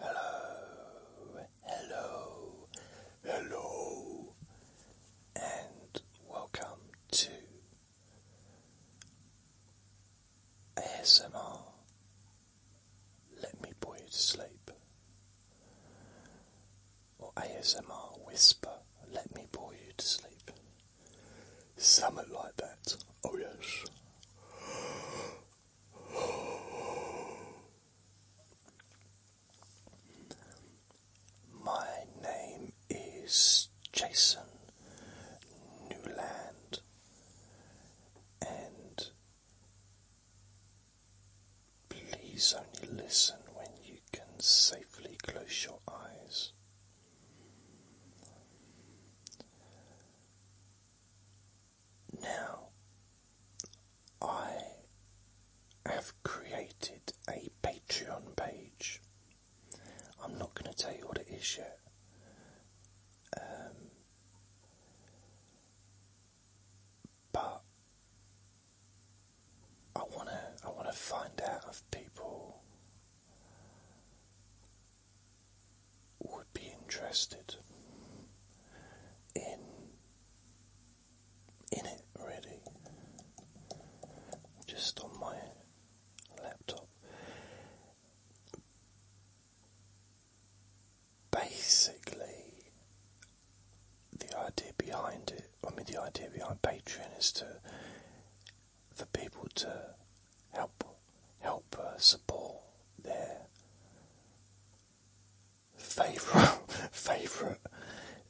Hello, hello, hello, and welcome to ASMR. Let me bore you to sleep, or ASMR whisper. Let me bore you to sleep. Something like that. Oh yes. My name is Jason Newland, and please only listen when you can safely close your eyes. Now, I have created a Patreon page. I'm not going to tell you what it is yet. Um, but I wanna, I wanna find out if people would be interested in in it really just on my laptop basically the idea behind it I mean the idea behind Patreon is to for people to help help uh, support their favorite favorite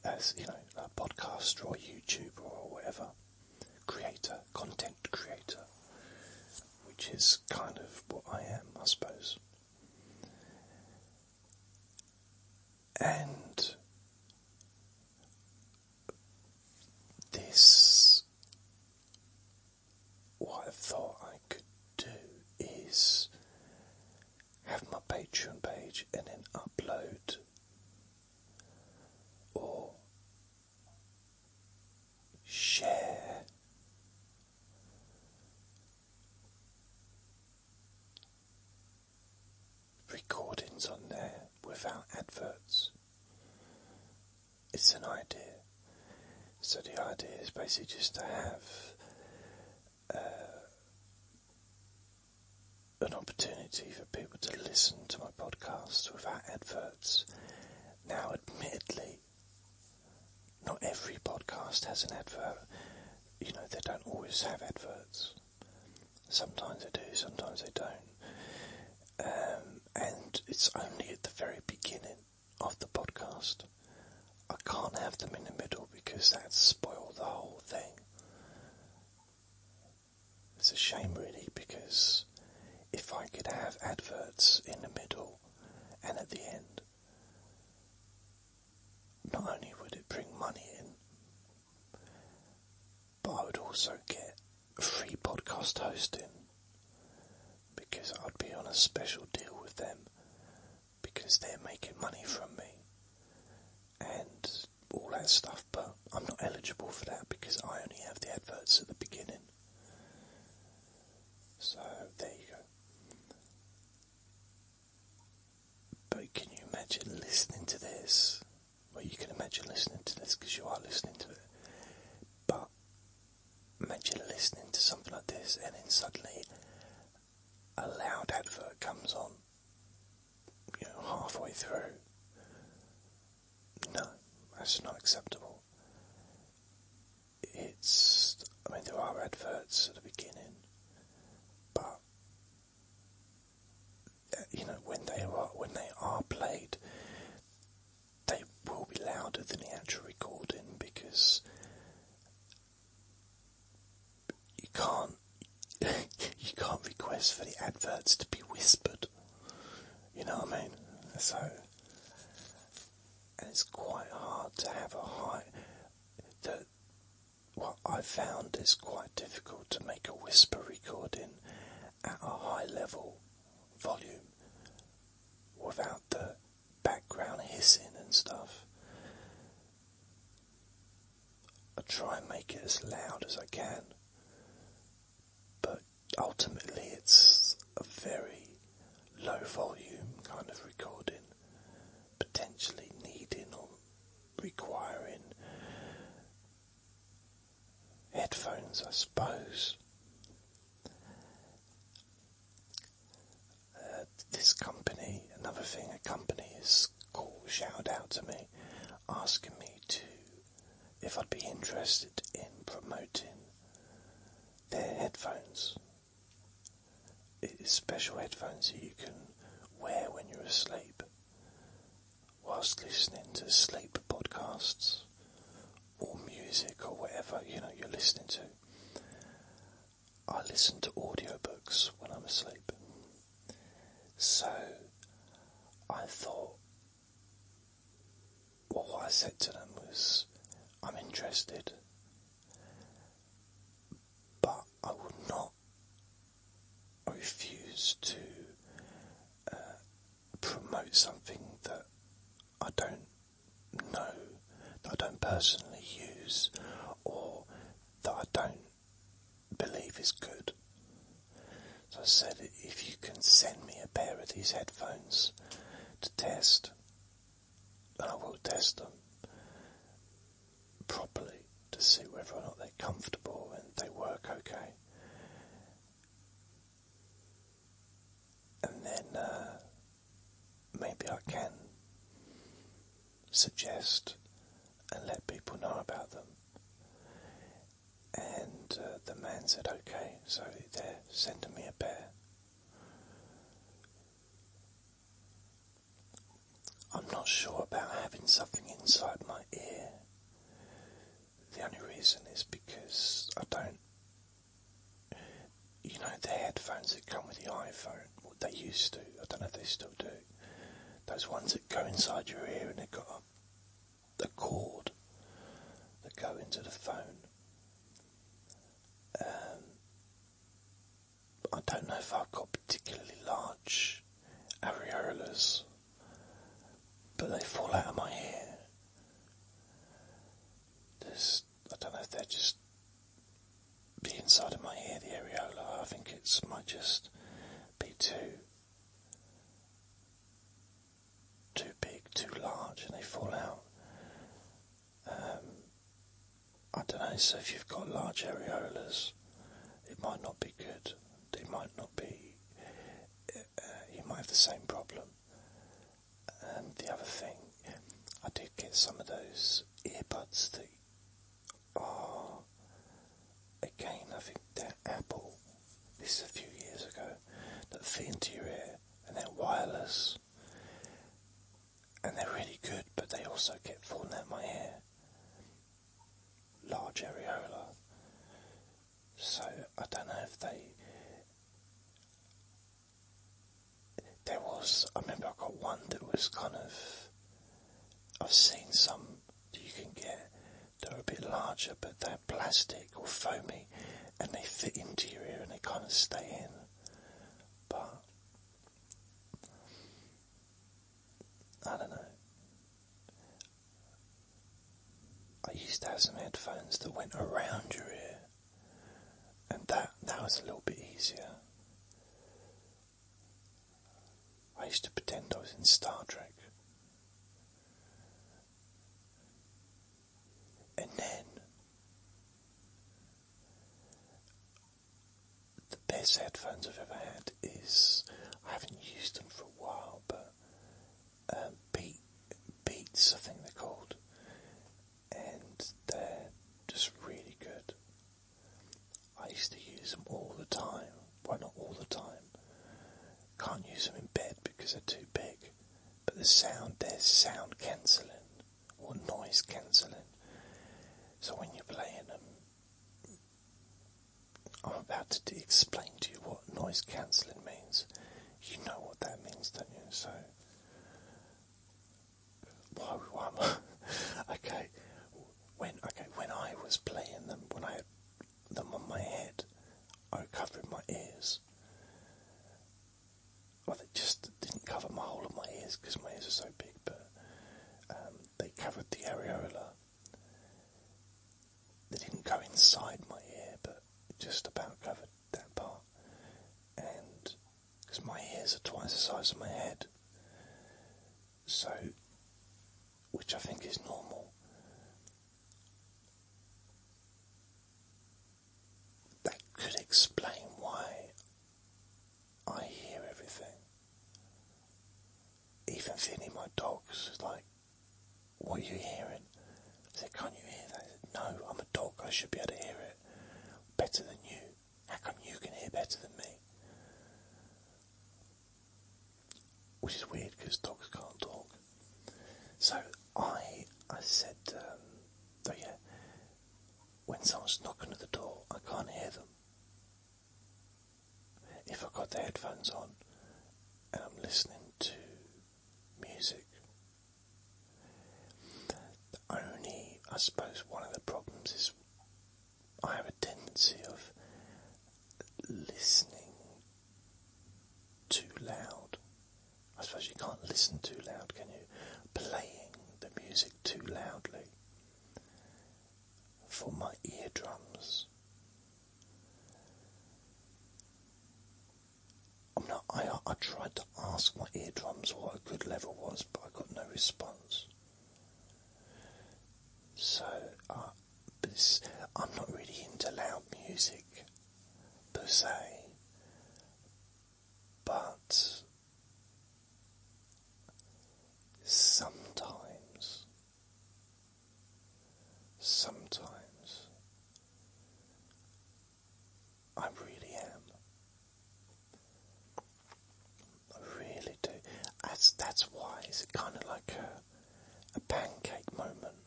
as you know a podcaster or YouTuber or whatever creator content creator, which is kind of what I am, I suppose. And this what I thought I could do is have my Patreon page and then upload or share recordings on there without adverts it's an idea. So the idea is basically just to have uh, an opportunity for people to listen to my podcast without adverts. Now, admittedly, not every podcast has an advert. You know, they don't always have adverts. Sometimes they do, sometimes they don't. Um, and it's only at the very beginning of the podcast. I can't have them in the middle because that'd the whole thing. It's a shame, really, because if I could have adverts in the middle and at the end, not only would it bring money in, but I would also get free podcast hosting because I'd be on a special deal with them because they're making money from me and all that stuff, but I'm not eligible for that because I only have the adverts at the beginning. So there you go. But can you imagine listening to this? Well, you can imagine listening to this because you are listening to it. But imagine listening to something like this and then suddenly a loud advert comes on, you know, halfway through. No, that's not acceptable. It's, I mean, there are adverts at the beginning, but uh, you know when they are when they are played, they will be louder than the actual recording because you can't you can't request for the adverts to be whispered. You know what I mean? So it's quite hard to have a high that what I found is quite difficult to make a whisper recording at a high level volume without the background hissing and stuff. I try and make it as loud as I can, but ultimately it's a very low volume kind of recording, potentially needing or requiring headphones, I suppose. Uh, this company, another thing, a company has called, shout out to me, asking me to, if I'd be interested in promoting their headphones. It's special headphones that you can wear when you're asleep whilst listening to sleep podcasts or music or whatever you know you're listening to. I listen to audiobooks when I'm asleep. So I thought, what I said to them was, I'm interested, but I would not refuse to uh, promote something that I don't no, that I don't personally use or that I don't believe is good. So I said, if you can send me a pair of these headphones to test, and I will test them properly to see whether or not they're comfortable and they work okay. And then uh, maybe I can suggest and let people know about them. And uh, the man said, okay, so they're sending me a pair. I'm not sure about having something inside my ear. The only reason is because I don't you know, the headphones that come with the iPhone, what they used to, I don't know if they still do, those ones that go inside your ear and they've got a, cord that go into the phone. Um, I don't know if I've got particularly large areolas, but they fall out of my ear. There's I don't know if they're just the inside of my ear, the areola. I think it's might just be too, too big, too large, and they fall out. Um, I don't know. So if you've got large areolas, it might not be good. They might not be. Uh, you might have the same problem. And the other thing, I did get some of those earbuds that are, again, I think they're Apple, this is a few years ago, that fit into your ear and they're wireless. And they're really good, but they also get falling out my ear. Large areola. So I don't know if they there was, I remember I got one that was kind of, I've seen some that you can get they are a bit larger, but they're plastic or foamy and they fit into your ear and they kind of stay in. But, I don't know. I used to have some headphones that went around your ear, and that that was a little bit easier. I used to pretend I was in Star Trek. And then the best headphones I've ever had is I haven't used them for a while, but um, uh, Beats I think they're called, and they're just really good. I used to use them all the time. Why not all the time. Can't use them in bed because they're too big. But the sound, they're sound cancelling or noise cancelling. So when you're playing them, I'm about to explain to you what noise cancelling means. You know what that means, don't you? So why? okay. When okay, when I was playing them, when I had them on my head, I covered my ears. Well, they just didn't cover my whole of my ears because my ears are so big, but um, they covered the areola. They didn't go inside my ear, but just about covered that part, and because my ears are twice the size of my head, so which I think is normal. That could explain why I hear everything. Even Vinny, my dog's like, what are you hearing? I said, Can't you hear that? Said, no, I'm a dog, I should be able to hear it better than you. How come you can hear better than me? Which is weird because dogs can't talk. So I, I said, um, oh yeah, when someone's knocking at the door, I can't hear them. If I've got the headphones on and I'm listening to music the only, I suppose, one of the problems is I have a tendency of listening too loud. I suppose you can't listen too loud, can you? Playing the music too loudly for my eardrums i I, I tried to ask my eardrums what a good level was, but I got no response. So, uh, I'm not really into loud music per se, but sometimes, sometimes I really am. I really do. That's that's why it's kind of like a a pancake moment.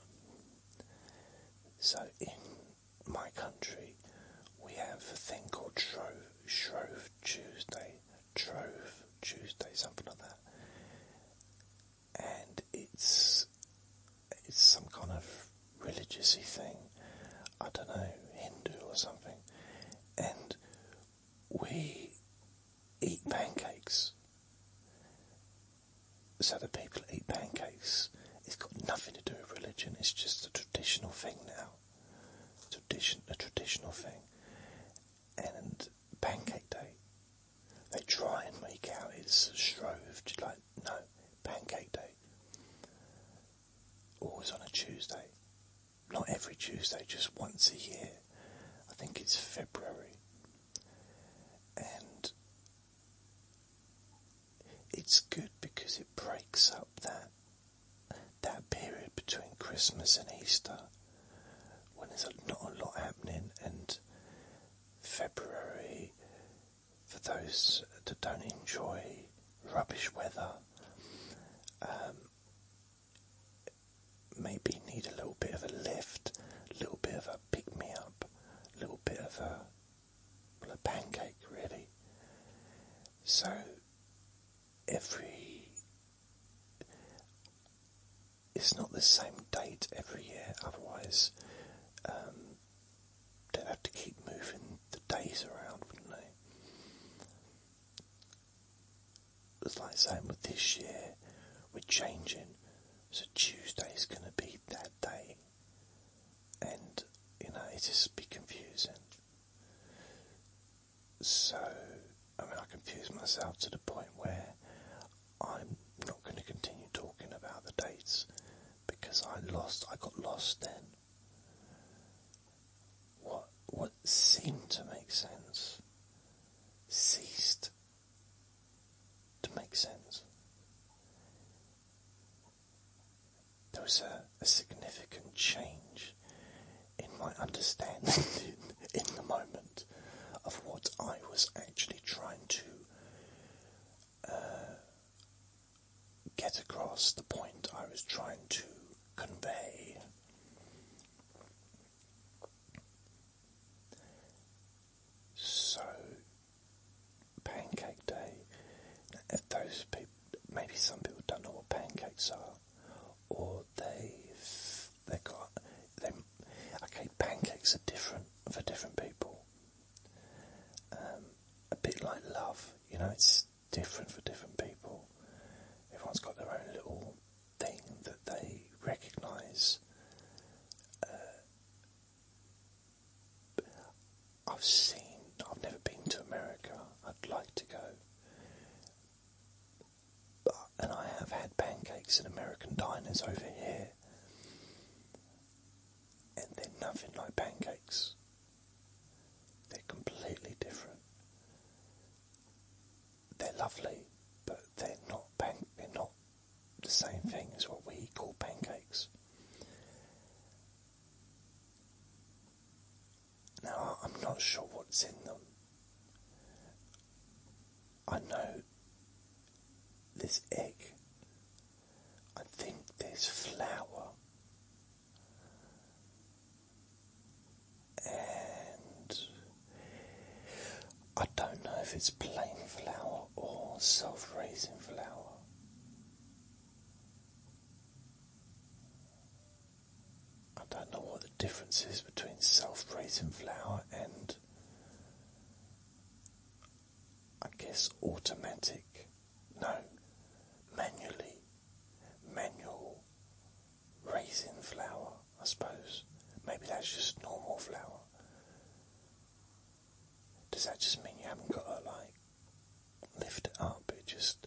So in my country, we have a thing called Shrove, Tuesday, Trove Tuesday, something like that, and it's it's some kind of religiousy thing, I don't know, Hindu or something, and we eat pancakes. So the people eat pancakes. It's got nothing to do with religion. It's just a traditional thing now. Tradition, a traditional thing. And Pancake Day, they try and make out it's a Shrove, like no, Pancake Day. Always on a Tuesday. Not every Tuesday, just once a year. I think it's February. And it's good because it breaks up that that period between Christmas and Easter when there's not a lot happening and February for those that don't enjoy rubbish weather, um, maybe need a little bit of a lift, a little bit of a pick me up, a little bit of a, well, a pancake, really. So, every it's not the same date every year, otherwise, um, They'd have to keep moving the days around, wouldn't they? It's like saying with this year we're changing, so Tuesday's going to be that day, and you know it just be confusing. So I mean, I confuse myself to the point where I'm not going to continue talking about the dates because I lost I got lost then. What what seemed to make sense ceased to make sense. There was a, significant change in my understanding in, the moment of what I was actually trying to uh, get across the point I was trying to convey. So, Pancake Day. If those people, maybe some people don't know what pancakes are, or they've they got they. Okay, pancakes are different for different people. Um, a bit like love, you know, it's different for different people. Everyone's got their own little thing that they recognise. Uh, I've seen, I've never been to America, I'd like to go. But, and I have had pancakes in American diners over here and they're nothing like pancakes. They're completely different. They're lovely, but they're not pan- they're not the same thing as what we call pancakes. Now I'm not sure what's in them. I know this egg I think there's flour and I don't know if it's plain flour or self raising flour. I don't know what the difference is between self raising flour and I guess automatic no, manually, manual raisin flour, I suppose. Maybe that's just normal flour. Does that just mean you haven't got to like lift it up? It just,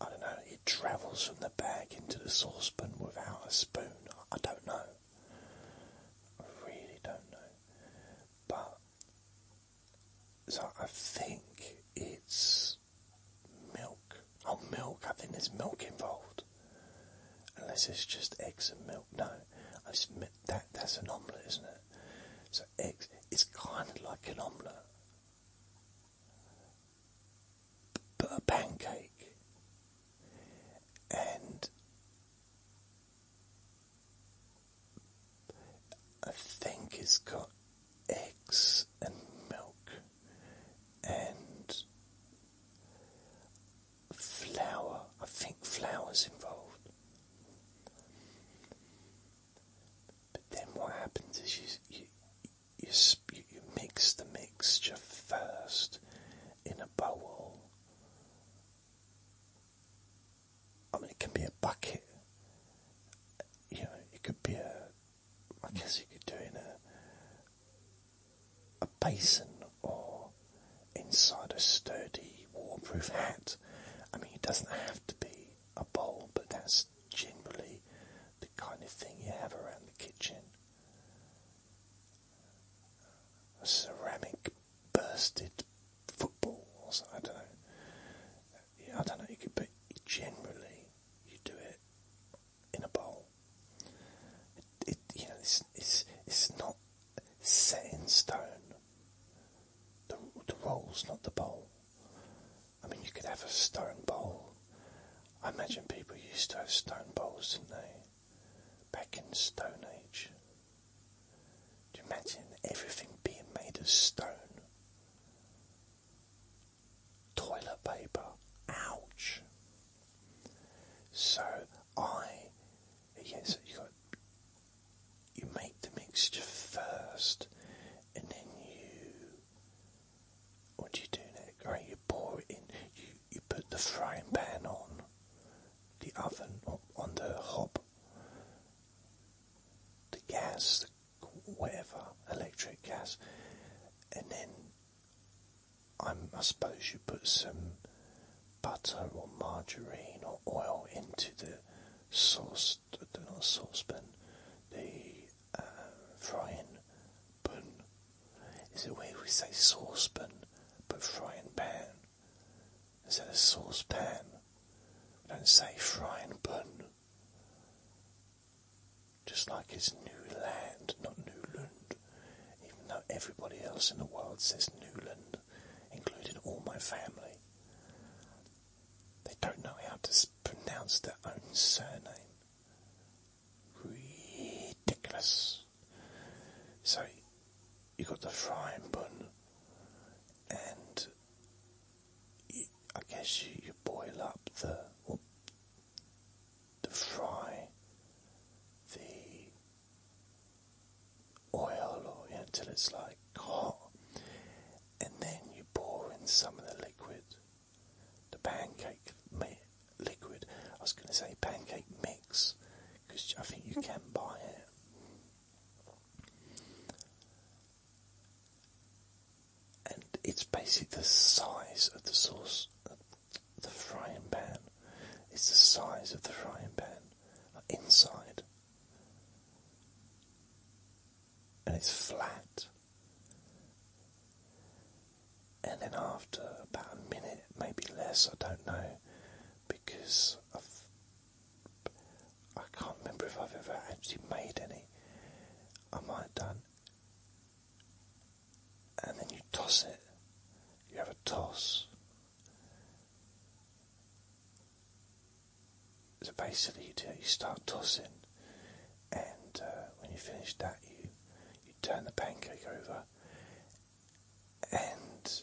I don't know, it travels from the bag into the saucepan without a spoon. I don't know. I really don't know. But so I think it's milk. Oh, milk. I think there's milk involved. Unless it's just eggs and milk. No, I submit that that's an omelette, isn't it? So eggs. It's kind of like an omelette, but a pancake. And I think it's got eggs and milk and flour. I think flour's involved. But then what happens is you you you, you mix the mixture first in a bowl I mean, it can be a bucket. You know, it could be a. I guess you could do it in a a basin or inside a sturdy waterproof hat. I mean, it doesn't have to be a bowl, but that's generally the kind of thing you have around the kitchen. A ceramic bursted footballs. I don't know. I don't know. You could, but generally, you do it in a bowl. It, you know, it's it's it's not set in stone. The the roll's not the bowl. I mean, you could have a stone bowl. I imagine people used to have stone bowls, didn't they? back in Stone Age. Do you imagine everything being made of stone? Toilet paper, ouch. So I, yes, you got, you make the mixture first, and then you, what do you do next? Right, you pour it in, you put the frying pan on the oven, or on the hob, the gas, whatever, electric gas, and then i suppose you put some butter or margarine or oil into the sauce, the, saucepan, the uh, frying pan. Is it weird we say saucepan but frying pan? instead of saucepan. don't say frying pan. Just like it's new land, not Newland. Even though everybody else in the world says Newland, including all my family. They don't know how to pronounce their own surname. Ridiculous. So you've got the frying pan, and I guess you, boil up the the fry, the oil, until it's like hot, and then you pour in some of the liquid, the pancake liquid. I was going to say pancake mix because I think you can buy it. And it's basically the size of the sauce, the frying pan. It's the size of the frying pan inside. And it's flat. And then after about a minute, maybe less, I don't know, because I've, I i can not remember if I've ever actually made any. I might have done. And then you toss it. You have a toss. So basically, you, do, you start tossing, and uh, when you finish that, you you turn the pancake over, and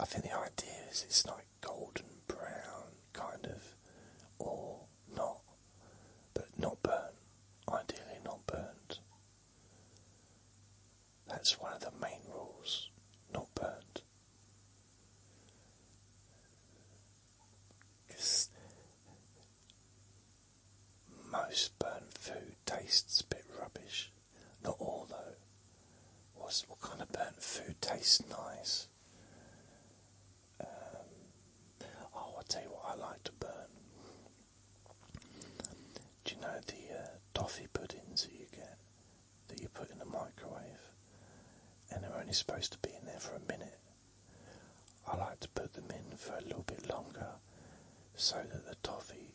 I think the idea is it's like golden brown, kind of, or not, but not burnt. Ideally, not burnt. That's one of the main rules. Not burnt. Because most burnt food tastes a bit rubbish. Not all though. what kind of burnt food tastes nice? Um, oh, I'll tell you what I like to burn. Do you know the uh, toffee puddings that you get, that you put in the microwave, and they're only supposed to be in there for a minute? I like to put them in for a little bit longer so that the toffee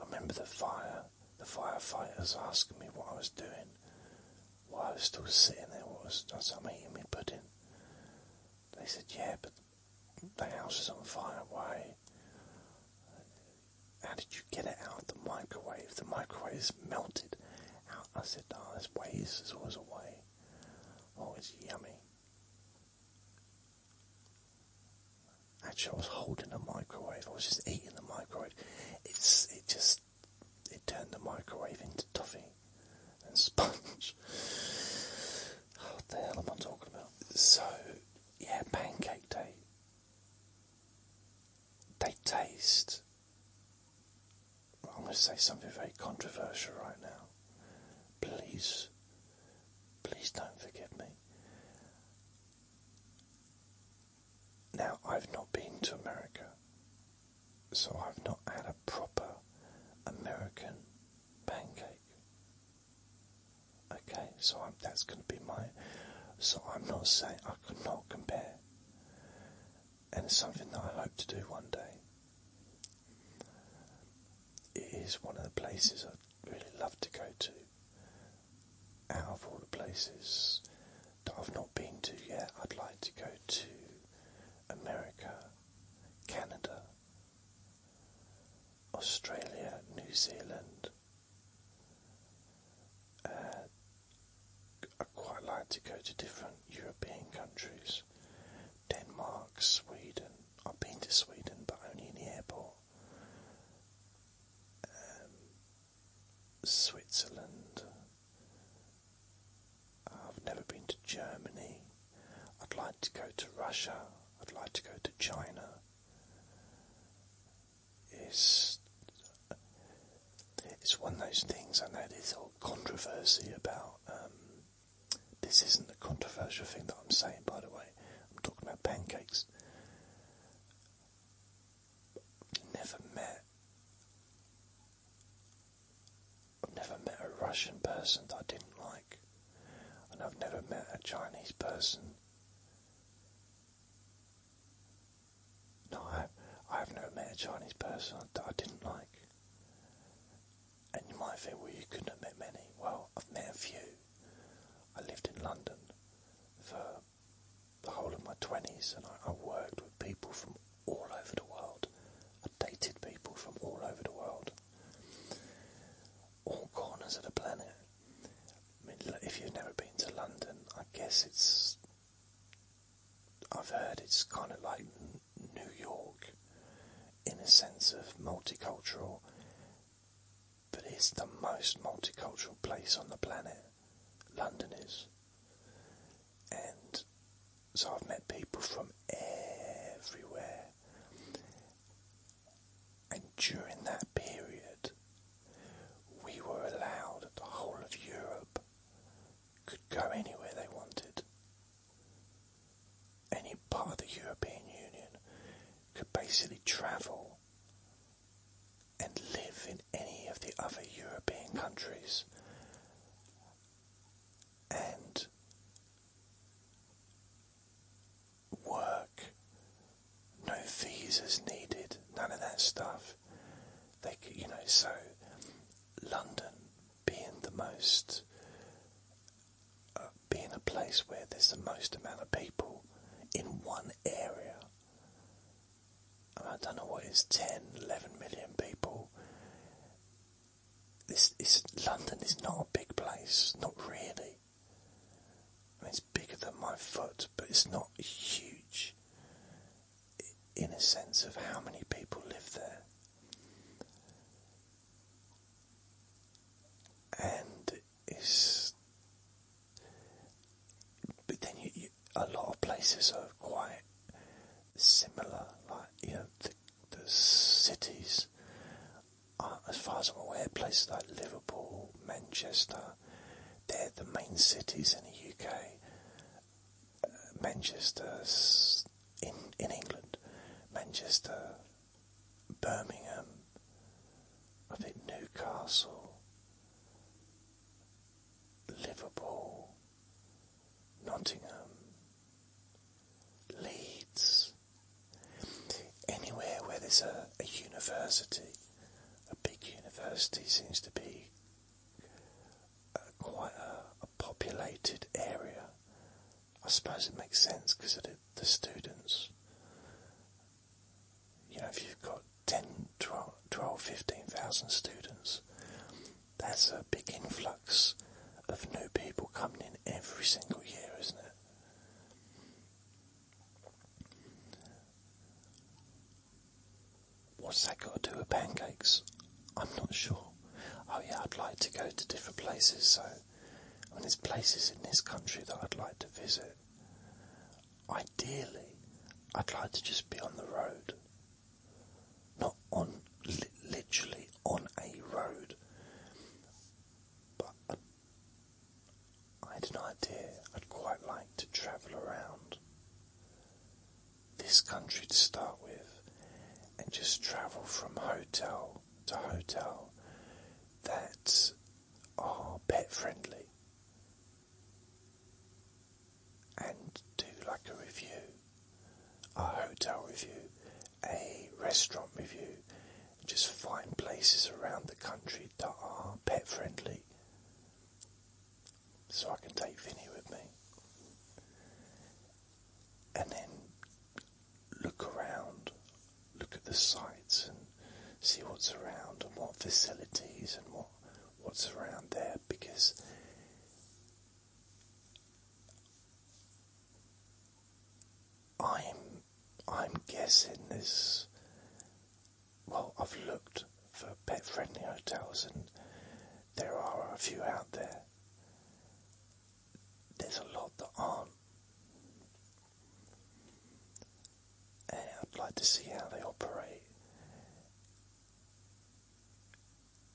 I remember the fire, the firefighters asking me what I was doing, Why I was still sitting there, what was, I I'm eating pudding. They said, yeah, but the house was on fire, why? How did you get it out of the microwave? The microwave is melted. I said, oh, there's ways, there's always a way. Oh, it's yummy. Actually, I was holding the microwave. I was just eating the microwave. It's it just it turned the microwave into toffee and sponge. what the hell am I talking about? So yeah, pancake day. They taste I'm going to say something very controversial right now. Please, please don't forgive me. Now, I've not been to America, so I've not had a proper American pancake. Okay, so that's going to be my. So I'm not saying I could not compare. And it's something that I hope to do one day it is one of the places I'd really love to go to. Out of all the places that I've not been to yet, I'd like to go to America, Canada, Australia, New Zealand. Uh, I quite like to go to different European countries Denmark, Sweden. I've been to Sweden, but only in the airport. Um, Switzerland. I've never been to Germany. I'd like to go to Russia. I'd like to go to China. It's it's one of those things I know there's all controversy about um, this isn't a controversial thing that I'm saying, by the way. I'm talking about pancakes. I've never met. I've never met a Russian person that I didn't like, and I've never met a Chinese person. No, I've never met a Chinese person that I didn't like. And you might think, well, you couldn't have met many. Well, I've met a few. I lived in London for the whole of my 20s and I worked with people from all over the world. I dated people from all over the world, all corners of the planet. I mean, if you've never been to London, I guess it's. I've heard it's kind of like New York in a sense of multicultural, but it's the most multicultural place on the planet. London is. And so I've met people from everywhere. And during that period, we were allowed, that the whole of Europe could go anywhere they wanted any part of the European Union could basically travel and live in any of the other European countries and work. No visas needed, none of that stuff. They you know, so London being the most, uh, being a place where there's the most amount of people in one area. I don't know what is 10, 11 million people. This is London is not a big place, not really. it's bigger than my foot, but it's not huge in a sense of how many people live there and it's. But then a lot of places are quite similar, like you know the, cities. as far as I'm aware, places like Liverpool, Manchester, they're the main cities in the UK. Uh, Manchester's in, in England, Manchester, Birmingham, I think Newcastle, Liverpool, Nottingham, Leeds, anywhere where there's a, university, a big university seems to be uh, quite a populated area. I suppose it makes sense because the, students. You know, if you've got 10, 12, 12 15,000 students, that's a big influx of new people coming in every single year, isn't it? What's that got to do with pancakes? I'm not sure. Oh yeah, I'd like to go to different places. So, I there's places in this country that I'd like to visit. Ideally, I'd like to just be on the road, not on literally on a road. But I, uh, I had an idea. I'd quite like to travel around this country to start with, and just travel from hotel to hotel that are pet friendly and do like a review, a hotel review, a restaurant review, just find places around the country that are pet friendly so I can take Vinny with me. And then look around, look at the sights and see what's around and what facilities and what what's around there because I'm I'm guessing this well I've looked for pet friendly hotels and there are a few out there there's a lot that aren't. Eh, I'd like to see how they operate.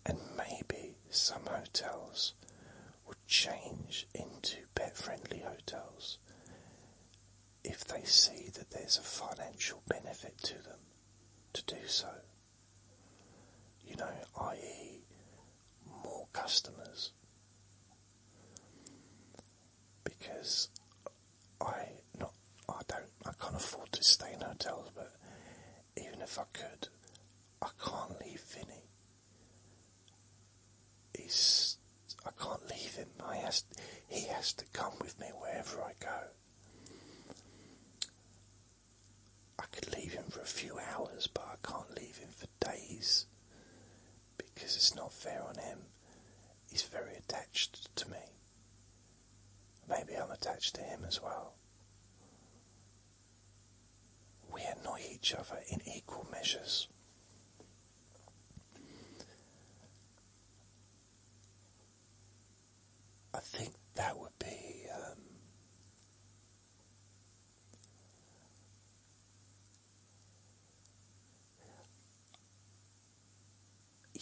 And maybe some hotels will change into pet friendly hotels if they see that there's a financial benefit to them to do so you know, i.e., more customers. Because I not I don't I can't afford to stay in hotels, but even if I could, I can't leave Vinny. He's I can't leave him. I has he has to come with me wherever I go. I could leave him for a few hours, but I can't leave him for days because it's not fair on him. He's very attached to me. Maybe I'm attached to him as well. We annoy each other in equal measures. I think that would be um,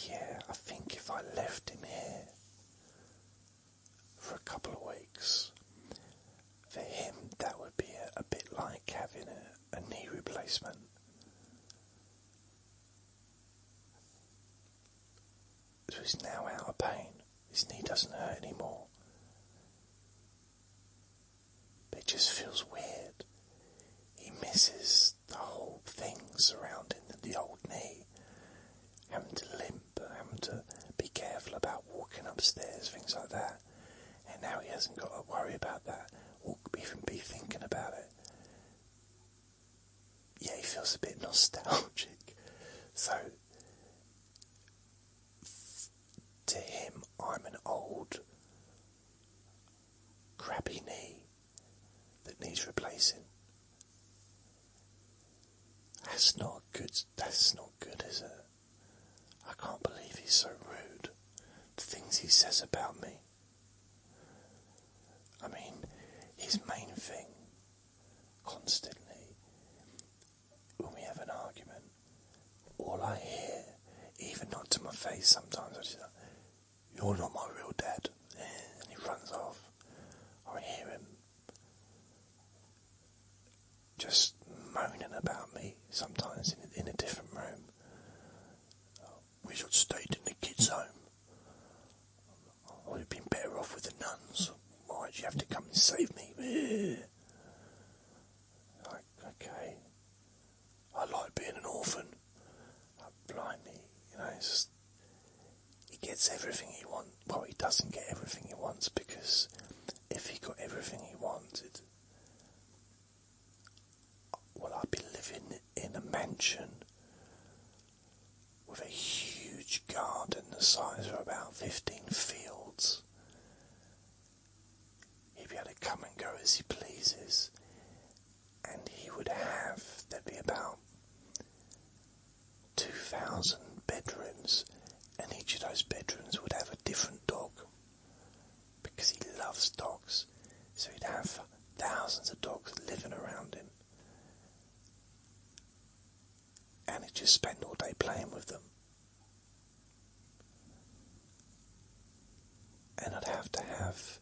yeah, I think if I left him here for a couple of weeks, for him that would be a, bit like having a knee replacement. So he's now out of pain. His knee doesn't hurt anymore. But it just feels weird. He misses the whole thing surrounding the old knee. Having to limp, having to be careful about walking upstairs, things like that. And now he hasn't got to worry about that or even be thinking about it. Yeah, he feels a bit nostalgic. So to him, I'm an old crappy knee that needs replacing. That's not good. That's not good, is it? I can't believe he's so rude. The things he says about me. I mean, his main thing, constantly, when we have an argument, all I hear, even not to my face sometimes, I just like, you're not my real dad. And he runs off. I hear him just moaning about me sometimes in, a different room. We should stay in the kids' home. we would have been better off with the nuns why March, you have to come and save me. Like, okay. I like being an orphan. Like, blimey, you know, he gets everything he wants. Well, he doesn't get everything he wants because if he got everything he wanted, well, I'd be living in a mansion with a huge garden the size of about fifteen fields. He'd be able to come and go as he pleases, and he would have, there'd be about 2,000 bedrooms, and each of those bedrooms would have a different dog because he loves dogs, so he'd have thousands of dogs living around him and he just spend all day playing with them. And I'd have to have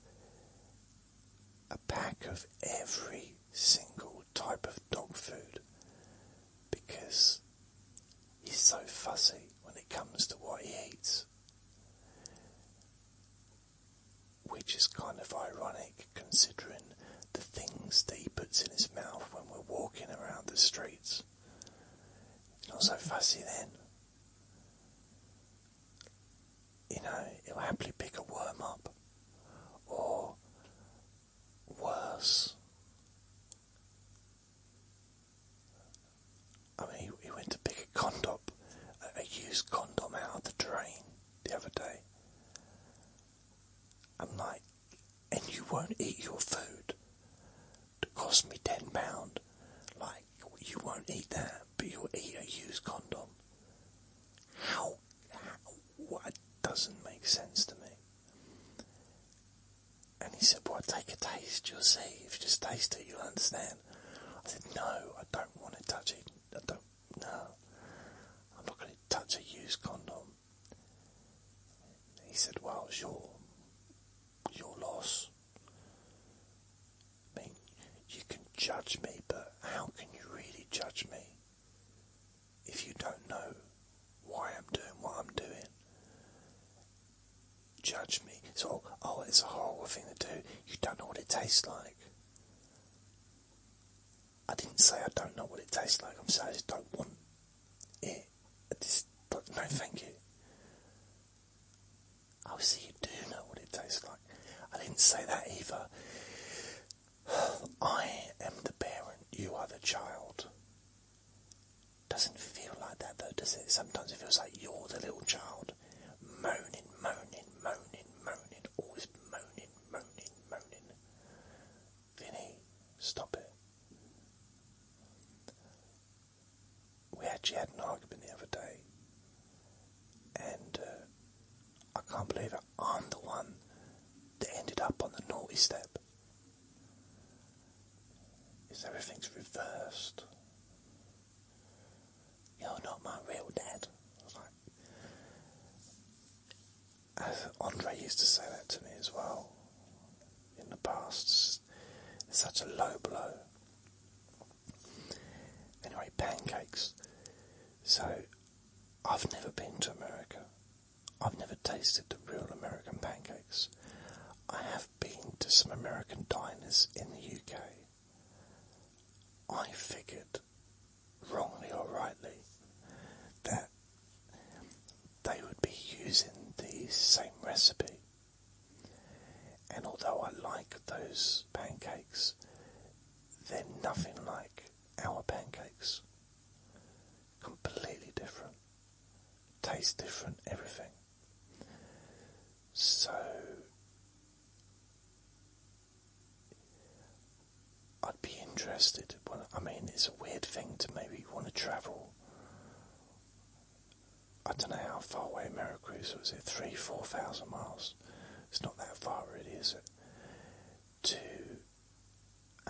a pack of every single type of dog food because he's so fussy when it comes to what he eats. Which is kind of ironic considering the things that he puts in his mouth when we're walking around the streets. Not so fussy then. You know, he'll happily pick a worm up. Or worse. I mean, he, went to pick a condom, a, a used condom out of the drain the other day. I'm like, and you won't eat your food that cost me ten pound. Like you won't eat that, but you'll eat a used condom. How? how what doesn't make sense to me? And he said, "Well, take a taste. You'll see. If you just taste it, you'll understand." I said, "No, I don't want to touch it. I don't. No, I'm not going to touch a used condom." He said, Well, it's your, your loss. I mean, you can judge me, but how can you really judge me if you don't know why I'm doing what I'm doing? Judge me. It's all, oh, it's a horrible thing to do. You don't know what it tastes like. I didn't say I don't know what it tastes like. I'm saying I just don't want it. I just don't, no, thank you. I see you do know what it tastes like. I didn't say that either. I am the parent, you are the child. Doesn't feel like that though, does it? Sometimes it feels like you're the little child, moaning, moaning, moaning, moaning, always moaning, moaning, moaning. Vinny, stop it. We actually had an argument the other day, and uh, I can't believe it. I'm the one that ended up on the naughty step. Is everything's reversed? You're not my real dad. Andre used to say that to me as well in the past. such a low blow. Anyway, pancakes. So, I've never been to America. I've never tasted the real American pancakes. I have been to some American diners in the UK. I figured, wrongly or rightly, that they would be using the same recipe. And although I like those pancakes, they're nothing like our pancakes. Completely different. Taste different, everything. So I'd be interested. I mean, it's a weird thing to maybe want to travel. I don't know how far away Veracruz was. It three, four thousand miles. It's not that far, really, is it? To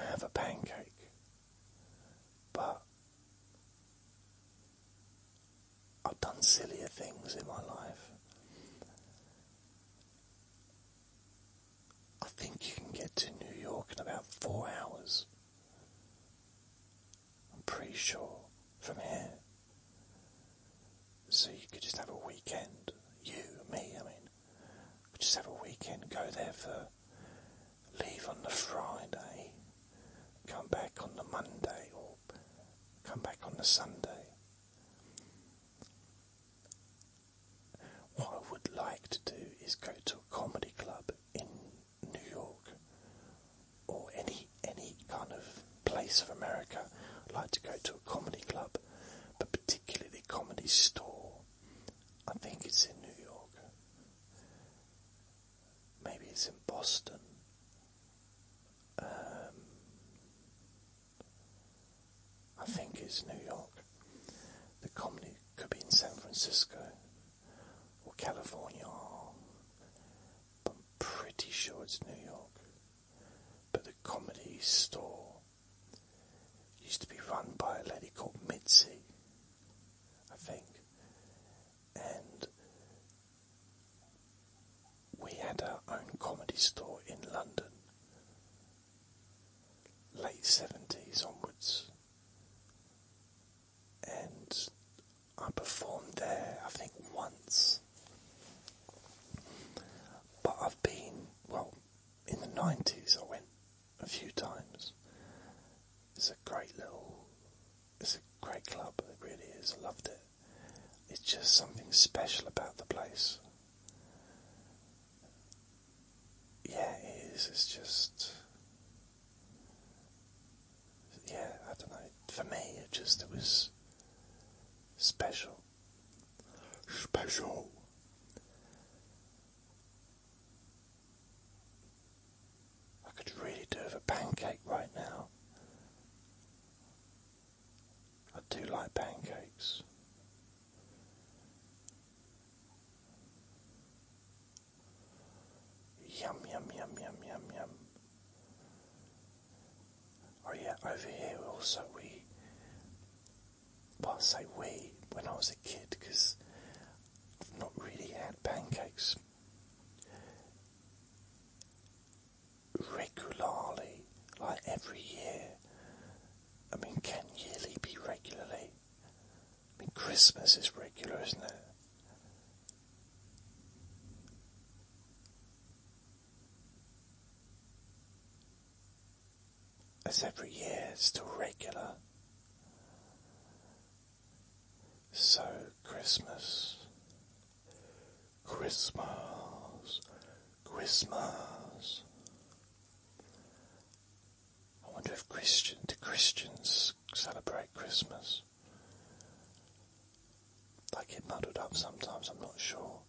have a pancake, but I've done sillier things in my life. I think you can get to New York in about four hours. I'm pretty sure from here. So you could just have a weekend. You, me, I mean, could just have a weekend, go there for leave on the Friday, come back on the Monday, or come back on the Sunday. What I would like to do is go to a comedy club in New York or any any kind of place of America. I'd like to go to a comedy club, but particularly comedy store. I think it's in New York. Maybe it's in Boston. Um, I think it's New York. The comedy could be in San Francisco or California, but I'm pretty sure it's New York. But the comedy store used to be run by a lady called Mitzi, I think, and we had our own comedy store in London late 70s onwards. And I performed there, I think, once. But I've been, well, in the 90s I went a few times. It's a great little, it's a great club, it really is. loved it. It's just something special about the place yeah, it is. It's just, yeah, I don't know. For me, it just it was special, special. I could really do with a pancake right now. I do like pancakes. Yum, yum, yum, yum, yum, yum. Oh, yeah, over here also we. Well, I say we when I was a kid because I've not really had pancakes regularly, like every year. I mean, can yearly be regularly? I mean, Christmas is regular, isn't it? As every year, it's still regular. So, Christmas, Christmas, Christmas. I wonder if Christian do Christians celebrate Christmas? They get muddled up sometimes, I'm not sure.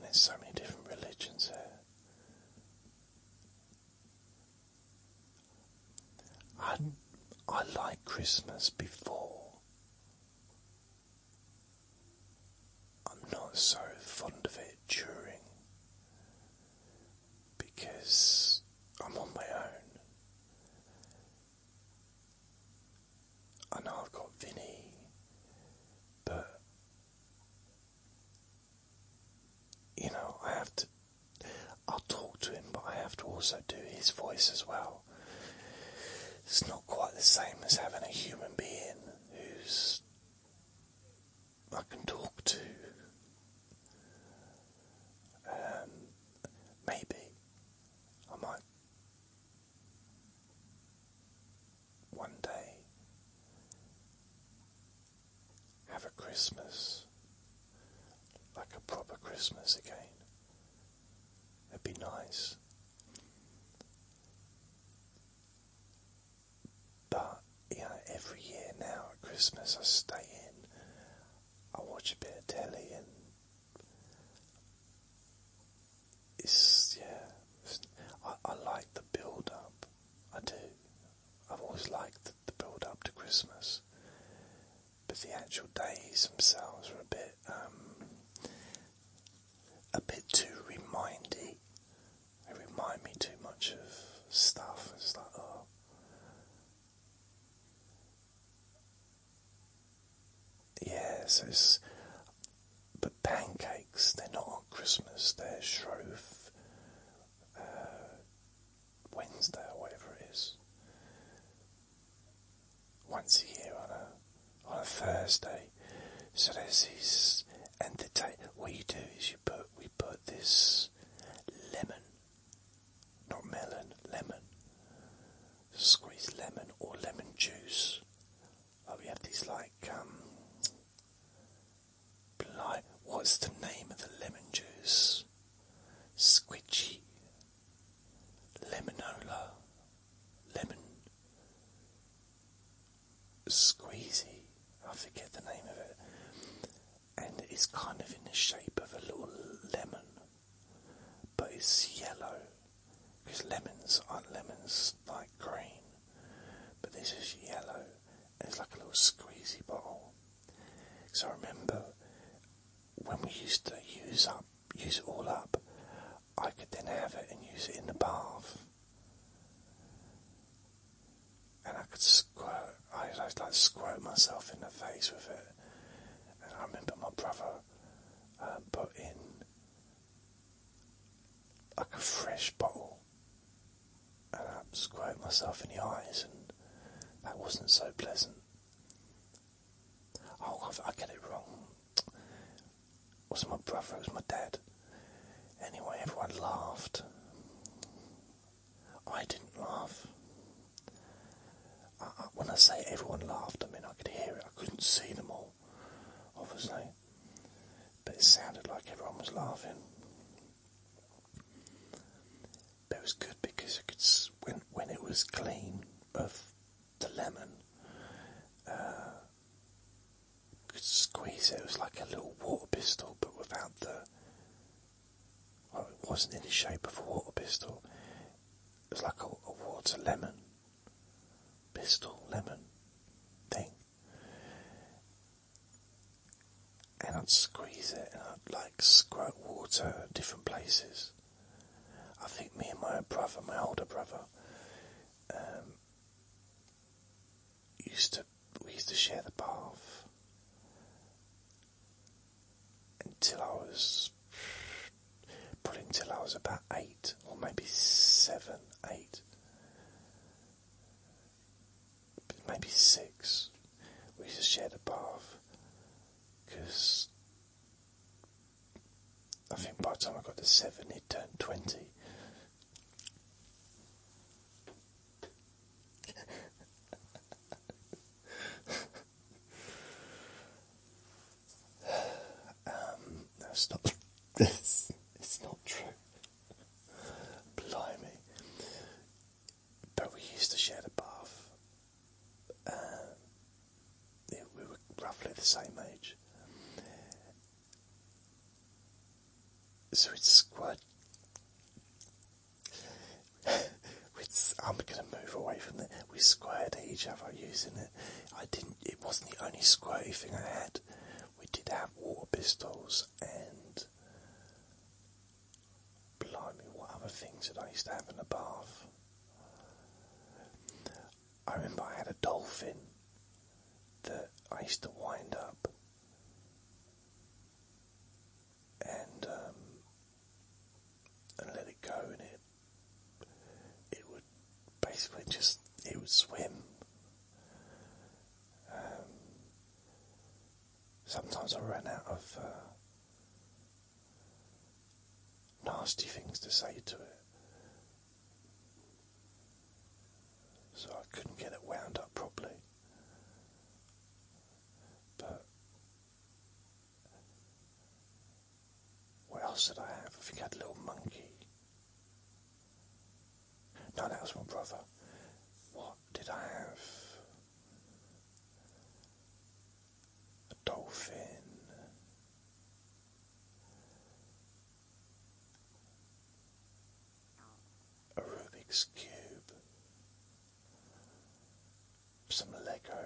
there's so many different religions here. I, I like Christmas before. I'm not so fond of it during because I'm on my own. I know I've got Vinny, but you know, I have to. I'll talk to him, but I have to also do his voice as well. It's not quite the same as having a human being who's I can talk to. Um, maybe I might one day have a Christmas, like a proper Christmas again. It'd be nice. But you know, every year now at Christmas, I stay in, I watch a bit of telly, and it's yeah, I, I like the build up. I do. I've always liked the, the build up to Christmas, but the actual days themselves are a bit, um, a bit too remindy they remind me too much of stuff. It's like, oh. Yeah, so it's. But pancakes, they're not on Christmas, they're Shrove uh, Wednesday or whatever it is. Once a year on a, on a Thursday. So there's these. And the ta- what you do is you put we put this lemon, not melon, lemon, squeezed lemon or lemon juice. Oh, we have these like um, blind, what's the name of the lemon juice? Squidgy, lemonola, lemon squeezy. I forget the name of it, and it's kind of in the shape of a little lemon, but it's yellow because lemons aren't lemons like green, but this is yellow. And it's like a little squeezy bottle. So I remember when we used to use up, use it all up. I could then have it and use it in the bath and I could squirt. I like squirt myself in the face with it. And I remember my brother uh, put in like a fresh bottle, and I squirted myself in the eyes, and that wasn't so pleasant. Oh, I get it wrong. It was my brother, it was my dad. Anyway, everyone laughed. I didn't laugh. when I say everyone laughed, I mean I could hear it. I couldn't see them all, obviously. But it sounded like everyone was laughing. But it was good because I could, when, when it was clean of the lemon, uh, could squeeze it. It was like a little water pistol, but without the. it wasn't in the shape of a water pistol. It was like a, water lemon pistol, lemon thing. And I'd squeeze it, and I'd like squirt water at different places. I think me and my brother, my older brother, um, used to we used to share the bath until I was probably until I was about eight or maybe seven, eight, maybe six. We used to share the bath because I think by the time I got to seven, he'd turned twenty, um, no, it's not. it's, not true. Blimey. But we used to share the bath. Um, we were roughly the same age. So it's quite. it's, I'm going to move away from that. We squared each other using it. I didn't. It wasn't the only squirty thing I had. We did have water pistols and. Blimey, what other things did I used to have in the bath? I remember I had a dolphin that I used to wind up and um, and let it go, and it it would basically just it would swim. Um, sometimes I ran out of uh, nasty things to say to it so I couldn't get it wound up properly. But what else did I have? I think I had a little monkey. No, that was my brother. What did I have? A dolphin a Rubik's Cube, some Lego.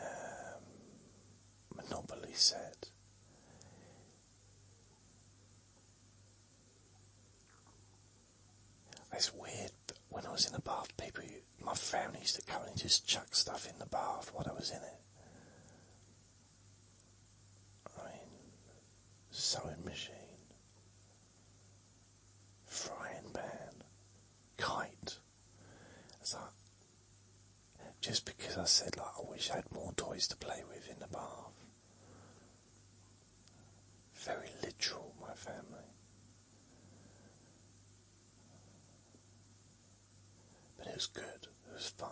Um, Monopoly set. It's weird, when I was in the bath, people my family used to come and just chuck stuff in the bath while I was in it. I mean, sewing machine, frying pan, kite. It's like, just because I said like I wish I had more toys to play with in the bath. Very literal, my family. But it was good, it was fun.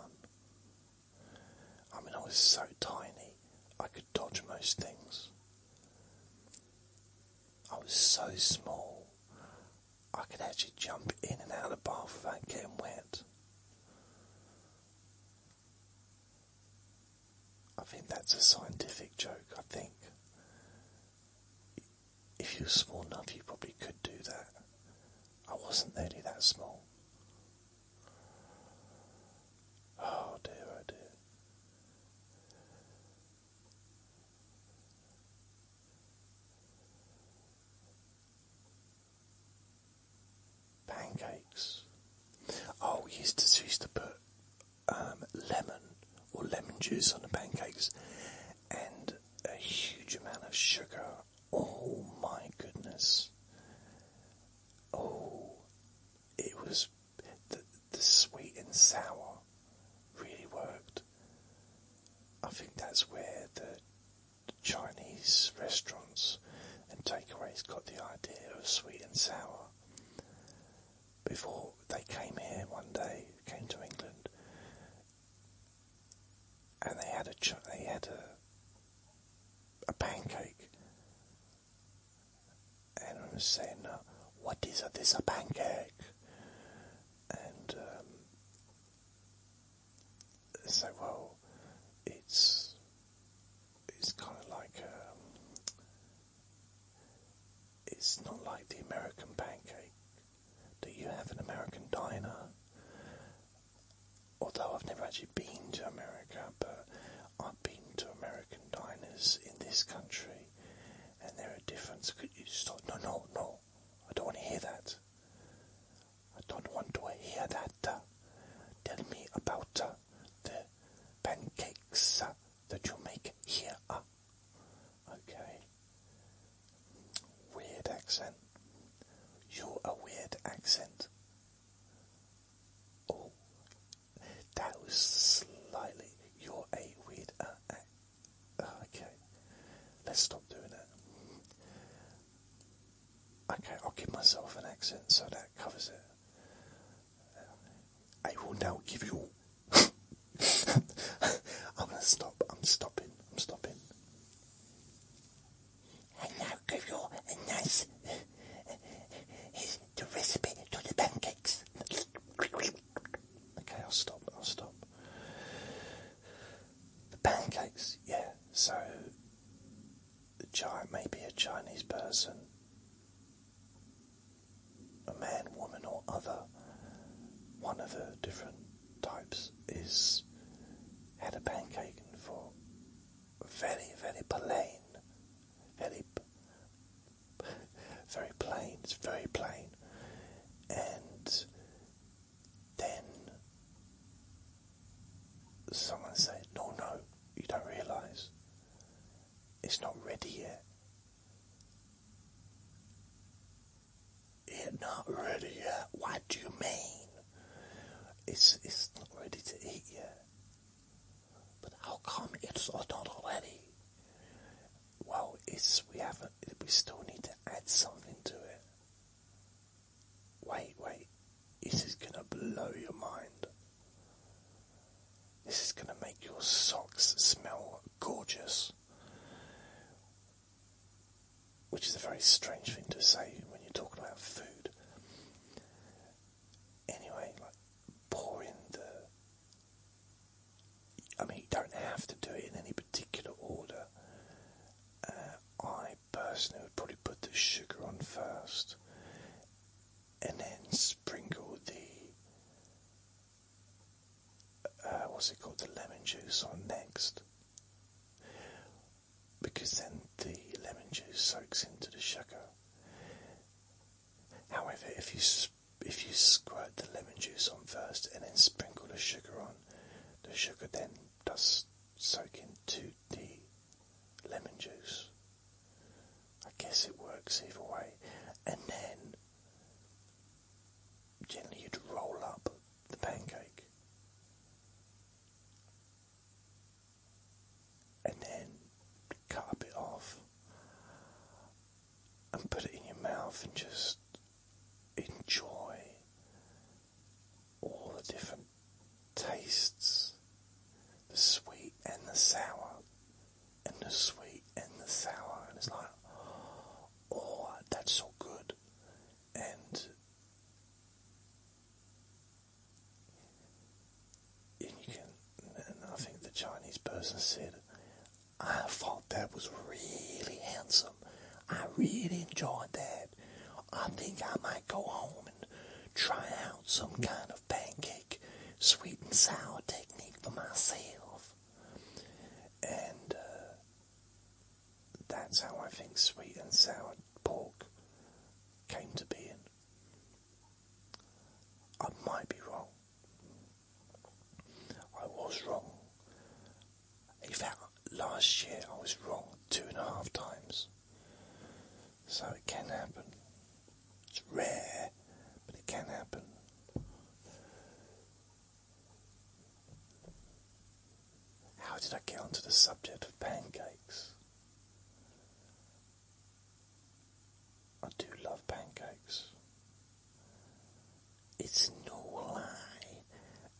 I mean, I was so tiny, I could dodge most things. I was so small, I could actually jump in and out of the bath without getting wet. I think that's a scientific joke. I think if you were small enough, you probably could do that. I wasn't nearly that small. Oh dear, oh, dear. Pancakes. Oh, we used to, used to put um, lemon or lemon juice on the pancakes and a huge amount of sugar. Oh my goodness. Oh, it was the, sweet and sour really worked. I think that's where the Chinese restaurants and takeaways got the idea of sweet and sour. Before they came here one day, came to England, and they had a they had a a pancake, and I was saying, "What is a, this a pancake?" And um, they "Well, it's it's kind of like um, it's not like the American pancake." that you have an American diner. Although I've never actually been to America, but I've been to American diners in this country, and there are different. Could you stop? No, no, no! I don't want to hear that. I don't want to hear that. Tell me about uh, the pancakes uh, that you make here. Uh, okay. Weird accent. You're a weird accent. Oh, that was slightly. You're a weird. Uh, uh, okay, let's stop doing it. Okay, I'll give myself an accent so that covers it. I will now give you I'm gonna stop. I'm stopping. I'm stopping. And now give your a nice. Here's the recipe to the pancakes. Okay, I'll stop. I'll stop. The pancakes, yeah. So, the giant may be a Chinese person, a man, woman, or other. One of the different types is had a pancake and for very, very plain, very, very plain. It's very plain, and then someone said, "No, no, you don't realise it's not ready yet." It's not ready yet. What do you mean? It's it's not ready to eat yet. But how come it's not ready? Well, it's we haven't. We still need to add something to it. Wait, wait. This is gonna blow your mind. This is gonna make your socks smell gorgeous which is a very strange thing to say when you're talking about food. Anyway, like I mean, you don't have to do it in any particular order. Uh, I personally would probably put the sugar on first, and then sprinkle the uh, what's it called, the lemon juice on next, because then the lemon juice soaks into the sugar. However, if you if you squirt the lemon juice on first and then sprinkle the sugar on, the sugar then does soak into the lemon juice. I guess it works either way, and then Gently, you'd roll up the pancake, and then cut a bit off, and put it in your mouth, and just enjoy all the different tastes the sweet and the sour, and the sweet and the sour, and it's like, oh, that's so good. And you can, I think the Chinese person said, I thought that was really handsome. I really enjoyed that. I think I might go home and try out some kind of pancake sweet and sour technique for myself. And uh, that's how I think sweet and sour pork came to be. I might be wrong. I was wrong. In fact, last year I was wrong two and a half times. So it can happen. It's rare, but it can happen. How did I get onto the subject of pancakes? I do love pancakes. It's no lie,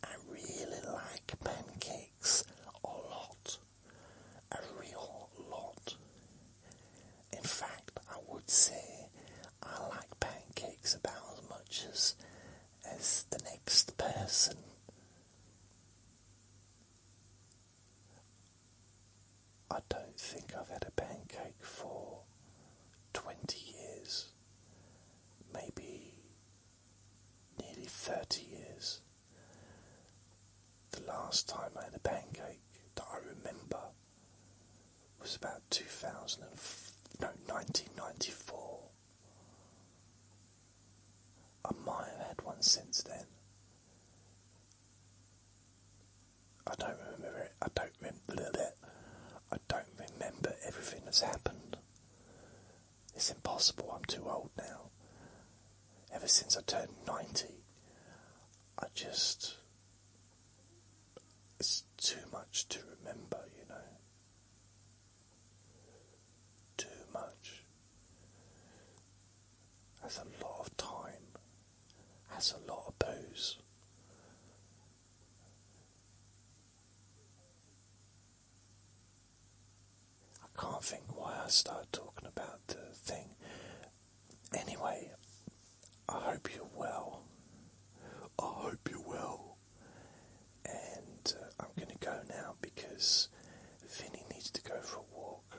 I really like pancakes a lot, a real lot. In fact, I would say I like pancakes about as much as as the next person. I don't think I've had a pancake for 20 years, maybe nearly 30 years. The last time I had a pancake that I remember was about 2000 and no, 1994. I might have had one since then. I don't remember it. I don't remember it. I don't remember everything that's happened. It's impossible. I'm too old now. Ever since I turned 90, I just it's too much to remember, you know. Too much. That's a lot of time. That's a lot of booze. I can't think why I started talking about the thing. Anyway, I hope you're well. I hope you're well. And uh, I'm going to go now because Vinny needed to go for a walk.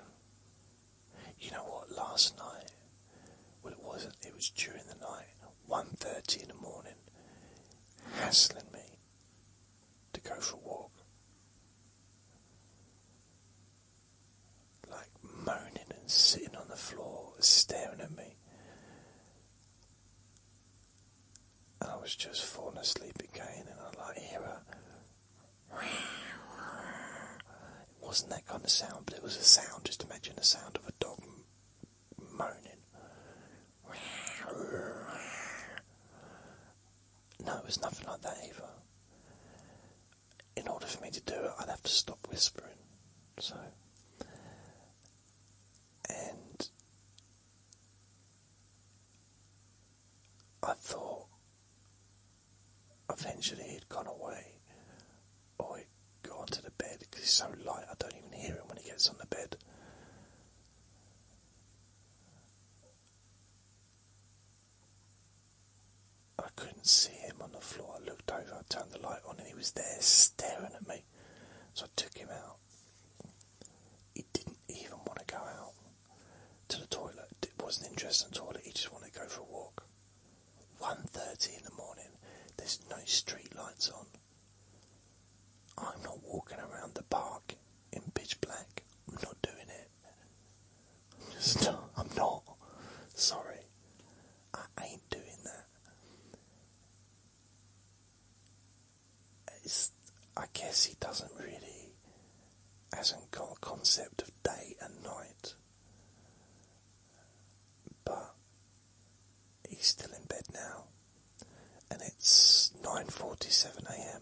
You know what? Last night, well, it wasn't. It was during the night, 1.30 in the morning, hassling me to go for a walk. Like moaning and sitting on the floor, staring at me. I was just falling asleep again, and I like hear a. It wasn't that kind of sound, but it was a sound. Just imagine the sound of a dog moaning. No, it was nothing like that either. In order for me to do it, I'd have to stop whispering. So and I thought eventually he'd gone away or he'd gone to the bed because he's so light I don't even hear him when he gets on the bed. I couldn't see him on the floor. I looked over, I turned the light on, and he was there staring at me. So I took him out. He didn't even want to go out to the toilet. It wasn't interested in toilet. He just wanted to go for a walk. 1.30 in the morning. There's no street lights on. I'm not walking around the park in pitch black. I'm not doing it. I'm just I'm not. Sorry. I ain't doing that. I guess he doesn't really hasn't got a concept of day and night, but he's still in bed now, and it's nine forty-seven a.m.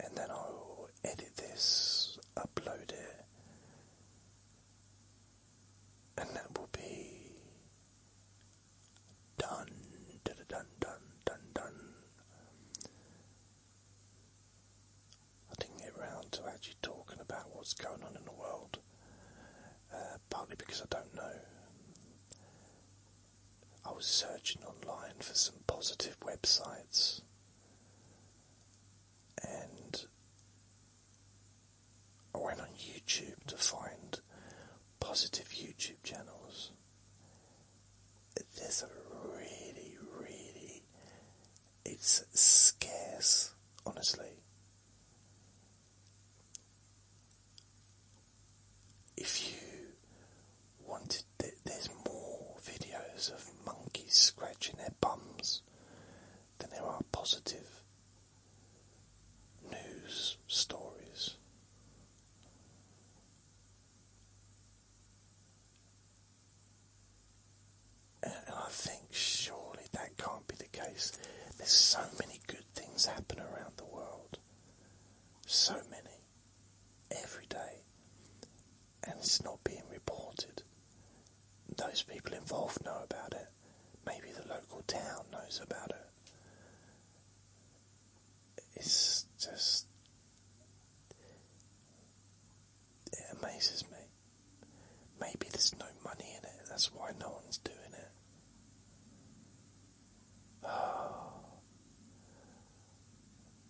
and then I'll edit this, upload it, and that will be done, I didn't get round to actually talking about what's going on in the world, uh, partly because I don't know. I was searching online for some positive websites and I went on YouTube to find positive YouTube channels. There's really, really, it's scarce, honestly. If you wanted th there's more videos of monkeys scratching their bums than there are positive news stories. And I think surely that can't be the case. There's so many good things happen around the world. So many every day and it's not being reported. Those people involved know about it. Maybe the local town knows about it. It's just. It amazes me. Maybe there's no money in it, that's why no one's doing it. Ah.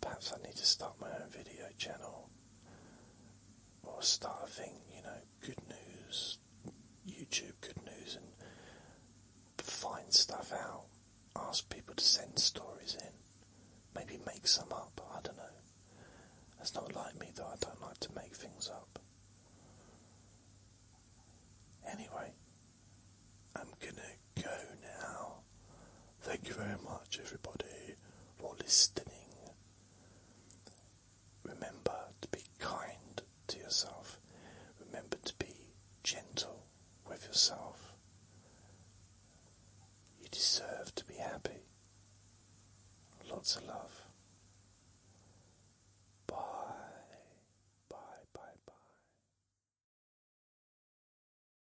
Perhaps I need to start my own video channel or start a thing, you know, good news, YouTube good news, and find stuff out. Ask people to send stories in. Maybe make some up, I don't know. That's not like me though, I don't like to make things up. Anyway, I'm gonna go now. Thank you very much, everybody, for listening. Remember to be kind to yourself. Remember to be gentle with yourself. You deserve to be happy. Lots of love. Bye. Bye, bye, bye.